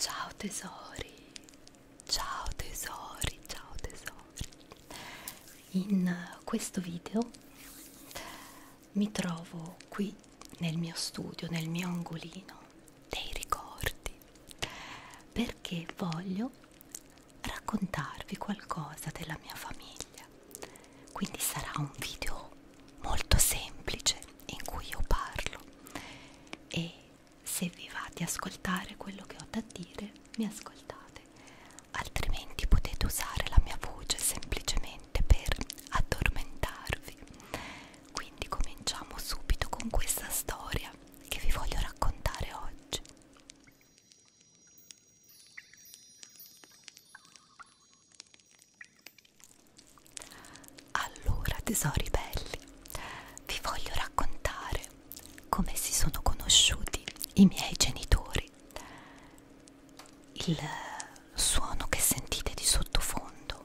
Ciao tesori, ciao tesori, ciao tesori. In questo video mi trovo qui nel mio studio, nel mio angolino dei ricordi, perché voglio raccontarvi qualcosa della mia famiglia. Quindi sarà un video molto semplice in cui io parlo e se vi va di ascoltare quello che ho da dire, mi ascoltate, altrimenti potete usare la mia voce semplicemente per addormentarvi. Quindi cominciamo subito con questa storia che vi voglio raccontare oggi. Allora, tesori belli, vi voglio raccontare come si sono conosciuti i miei genitori il suono che sentite di sottofondo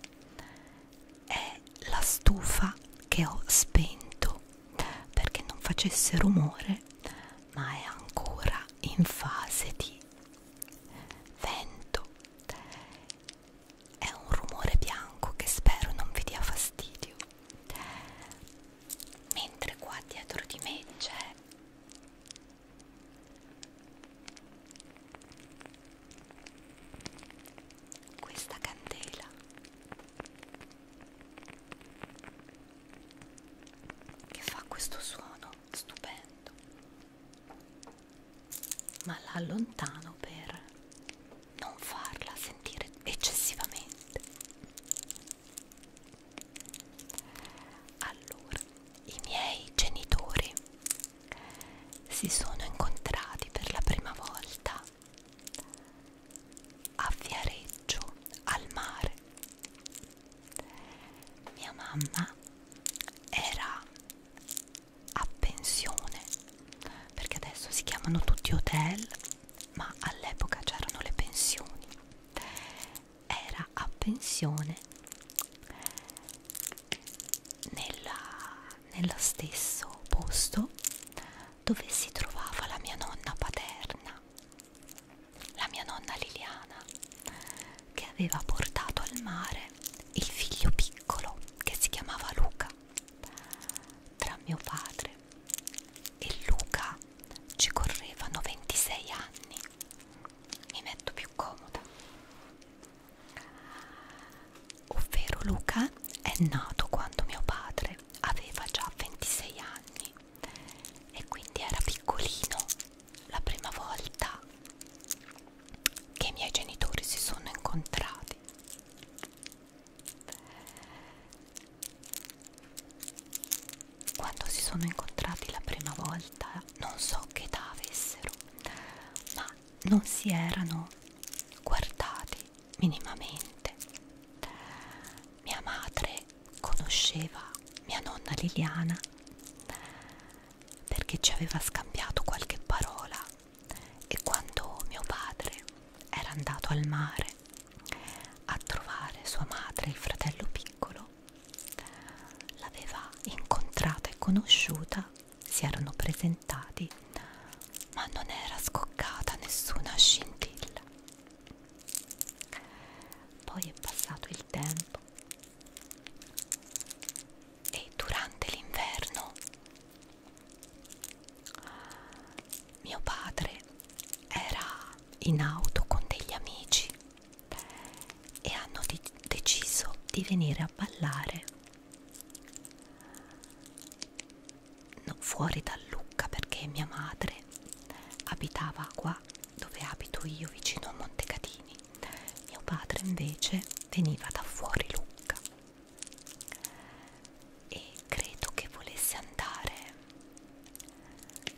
è la stufa che ho spento perché non facesse rumore, ma è ancora in fase di vento. È un rumore bianco che spero non vi dia fastidio. Mentre qua dietro di me c'è questa candela che fa questo suono stupendo ma la allontano per non farla sentire eccessivamente allora, i miei genitori si sono incontrati per la prima volta a Viareggio al mare. Mia mamma era a pensione perché adesso si chiamano tutti hotel ma all'epoca c'erano le pensioni era a pensione nella, nello stesso posto dove si trovava la mia nonna paterna, la mia nonna Liliana, che aveva portato al mare il figlio piccolo che si chiamava Luca. Tra mio padre e Luca ci correvano 26 anni mi metto più comoda ovvero Luca è nato quando mio padre aveva già 26 anni e quindi era piccolino la prima volta che i miei genitori si sono incontrati quando si sono incontrati la prima volta non so che età avessero, ma non si erano guardati minimamente. Mia madre conosceva mia nonna Liliana perché ci aveva scambiato qualche parola e quando mio padre era andato al mare a trovare sua madre e il fratello piccolo Piero l'aveva incontrata e conosciuta, si erano presentati, ma non era scoccata nessuna scintilla. Poi è passato il tempo e durante l'inverno mio padre era in auto con degli amici e hanno deciso di venire a ballare no, fuori da Lucca perché mia madre abitava qua dove abito io vicino a Montecatini mio padre invece veniva da fuori Lucca e credo che volesse andare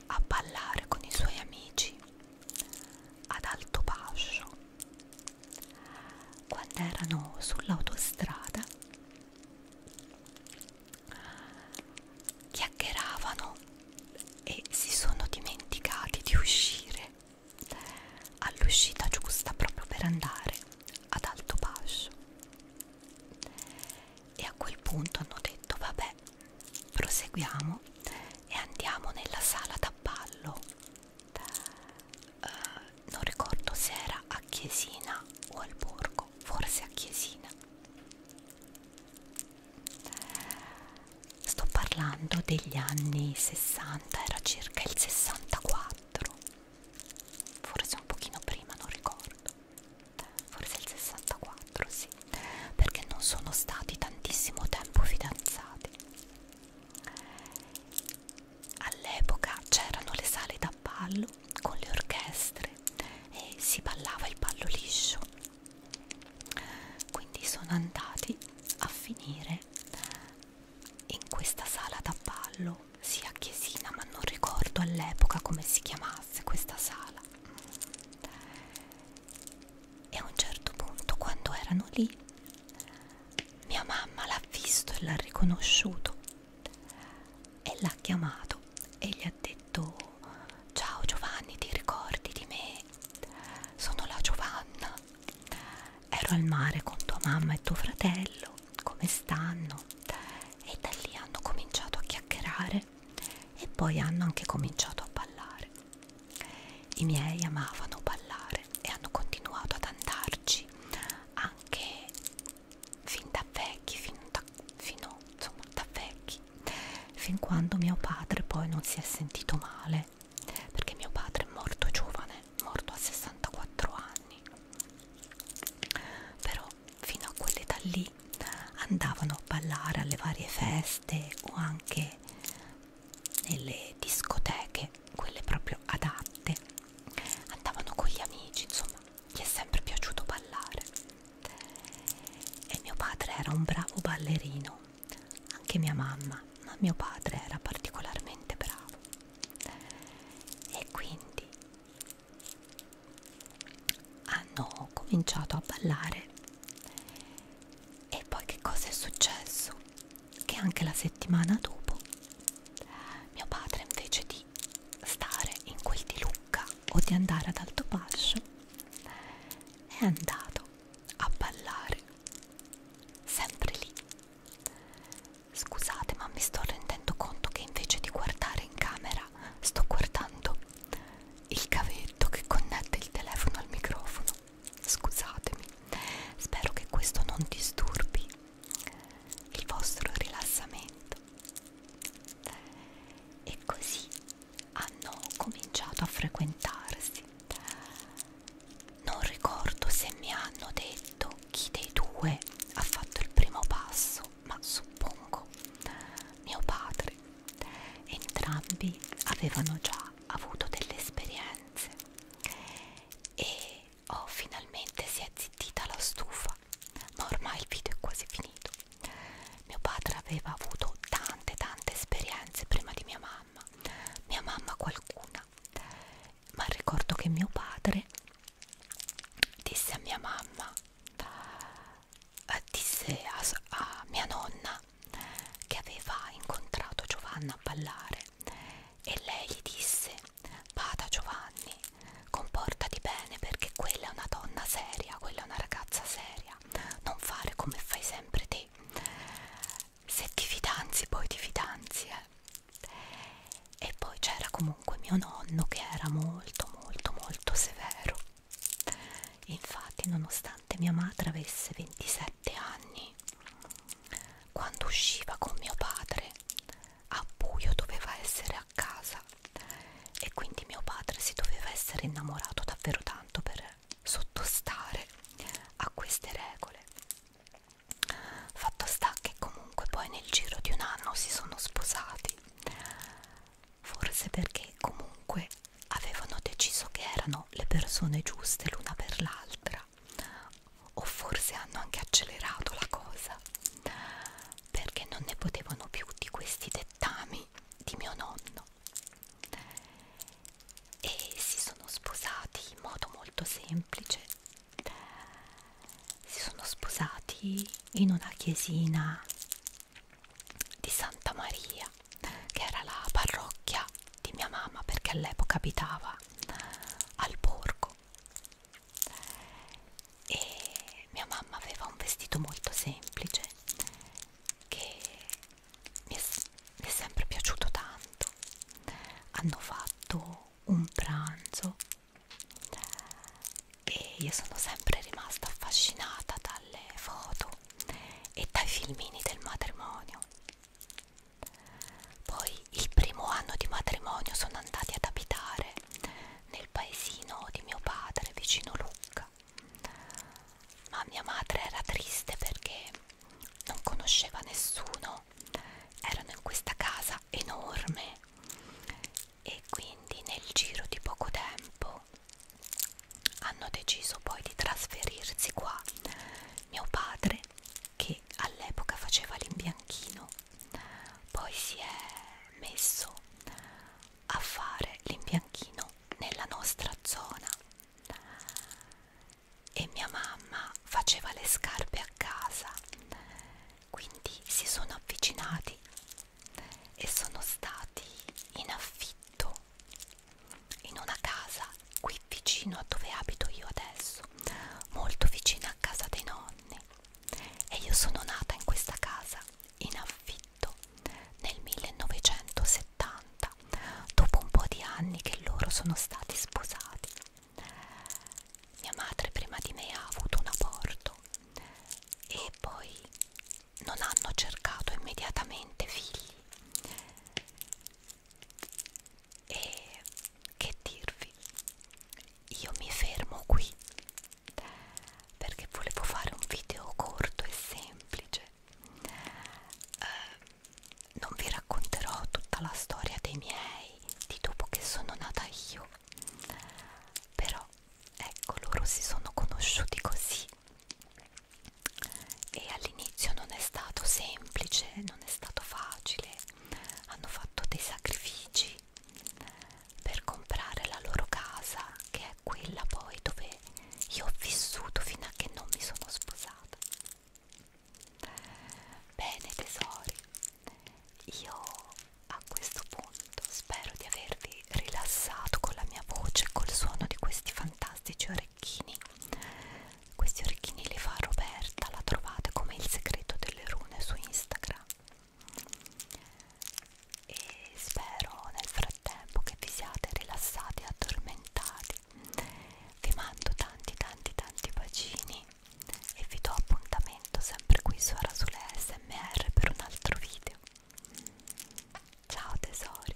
a ballare con i suoi amici ad alto basso quando erano sull'autostrada chiacchieravano e si sono dimenticati di uscire all'uscita giusta proprio per andare ad alto basso e a quel punto hanno detto vabbè proseguiamo e andiamo nella sala da ballo uh, non ricordo se era a Chiesina o al Borgo forse a Chiesina sto parlando degli anni 60 era circa il 64 forse un pochino prima non ricordo forse il 64 sì perché non sono stati tantissimo tempo fidanzati. All'epoca c'erano le sale da ballo con le orchestre e si ballava il ballo liscio. Quindi sono andati a finire in questa sala da ballo, sia chiesina, ma non ricordo all'epoca come si chiamasse questa sala e a un certo punto quando erano lì mia mamma l'ha visto e l'ha riconosciuto e l'ha chiamato e gli ha detto ciao Giovanni ti ricordi di me sono la Giovanna ero al mare con tua mamma e tuo fratello come stanno e da lì hanno cominciato a chiacchierare e poi hanno anche cominciato a ballare i miei amavano ballare e hanno continuato ad andarci anche fin da vecchi, fin da, fino, insomma, da vecchi, fin quando mio padre poi non si è sentito male, perché mio padre è morto giovane, morto a 64 anni. Però fino a quell'età lì andavano a ballare alle varie feste o anche nelle discoteche, quelle proprio adatte, andavano con gli amici, insomma, gli è sempre piaciuto ballare. E mio padre era un bravo ballerino, anche mia mamma, ma mio padre era particolarmente bravo. E quindi hanno cominciato a ballare e poi che cosa è successo? Che anche la settimana dopo mio padre invece di stare in quel di Lucca o di andare ad Alto Pascio è andato a ballare sempre lì. Scusate ma mi sto rendendo conto che invece di guardare in camera sto guardando il cavetto che connette il telefono al microfono. Scusatemi, spero che questo non disturbi il vostro rilassamento. E così hanno cominciato a frequentarsi. Non ricordo se mi hanno detto chi dei due ha fatto il primo passo, ma suppongo mio padre Entrambi avevano già avuto delle esperienze e oh, finalmente si è zittita la stufa, ma ormai il video è quasi finito. Mio padre aveva avuto tante tante esperienze prima di mia mamma, mia mamma qualcuna, ma ricordo che mio padre disse a mia mamma eh, disse a, a mia nonna che aveva incontrato Giovanna a ballare e lei gli disse vada Giovanni comportati bene perché quella è una donna seria quella è una ragazza seria non fare come fai sempre te se ti fidanzi poi ti fidanzi eh. e poi c'era comunque mio nonno che era molto molto molto severo Infatti, nonostante mia madre avesse 27 anni, quando usciva con mio padre a buio doveva essere a casa e quindi mio padre si doveva essere innamorato davvero tanto per sottostare a queste regole. Fatto sta che comunque poi nel giro di un anno si sono sposati forse perché comunque avevano deciso che erano le persone giuste l'una per l'altra o forse hanno anche accelerato la cosa perché non ne potevano più di questi dettami di mio nonno e si sono sposati in modo molto semplice si sono sposati in una chiesina di Santa Maria che era la parrocchia di mia mamma perché all'epoca abitava al borgo e mia mamma aveva un vestito molto semplice che mi è, mi è sempre piaciuto tanto hanno fatto un pranzo e io sono sempre rimasta affascinata dalle foto e dai filmini del matrimonio. Poi il primo anno di matrimonio sono andati ad abitare nel paesino di mio padre vicino Lucca, ma mia madre era triste perché non conosceva nessuno, erano in questa casa enorme e quindi nel giro di poco tempo hanno deciso poi di trasferirsi qua. Mio padre, che all'epoca faceva l'imbianchino, poi si è messo a fare l'imbianchino nella nostra zona e mia mamma faceva le scarpe a casa quindi si sono avvicinati e sono stati in affitto in una casa qui vicino a dove abito io adesso, molto vicina a casa dei nonni. E io sono nata in questa casa in affitto nel 1970, dopo un po' di anni che loro sono stati sposati. Mia madre prima di me ha avuto un aborto e poi non hanno cercato immediatamente figli e che dirvi io mi fermo qui perché volevo fare un video corto e semplice eh, non vi racconterò tutta la storia dei miei di dopo che sono nata io però ecco loro si sono conosciuti così e all'inizio non è stato semplice, non è stato facile, hanno fatto dei sacrifici per comprare la loro casa che è quella poi dove io ho vissuto fino a che non mi sono sposata. Bene tesori, io a questo punto spero di avervi rilassato con la mia voce e col suono di questi fantastici fantastici orecchini questi orecchini li fa Roberta la trovate come il segreto delle rune su Instagram e spero nel frattempo che vi siate rilassati e addormentati vi mando tanti tanti tanti bacini e vi do appuntamento sempre qui su Ara sulle SMR per un altro video ciao tesori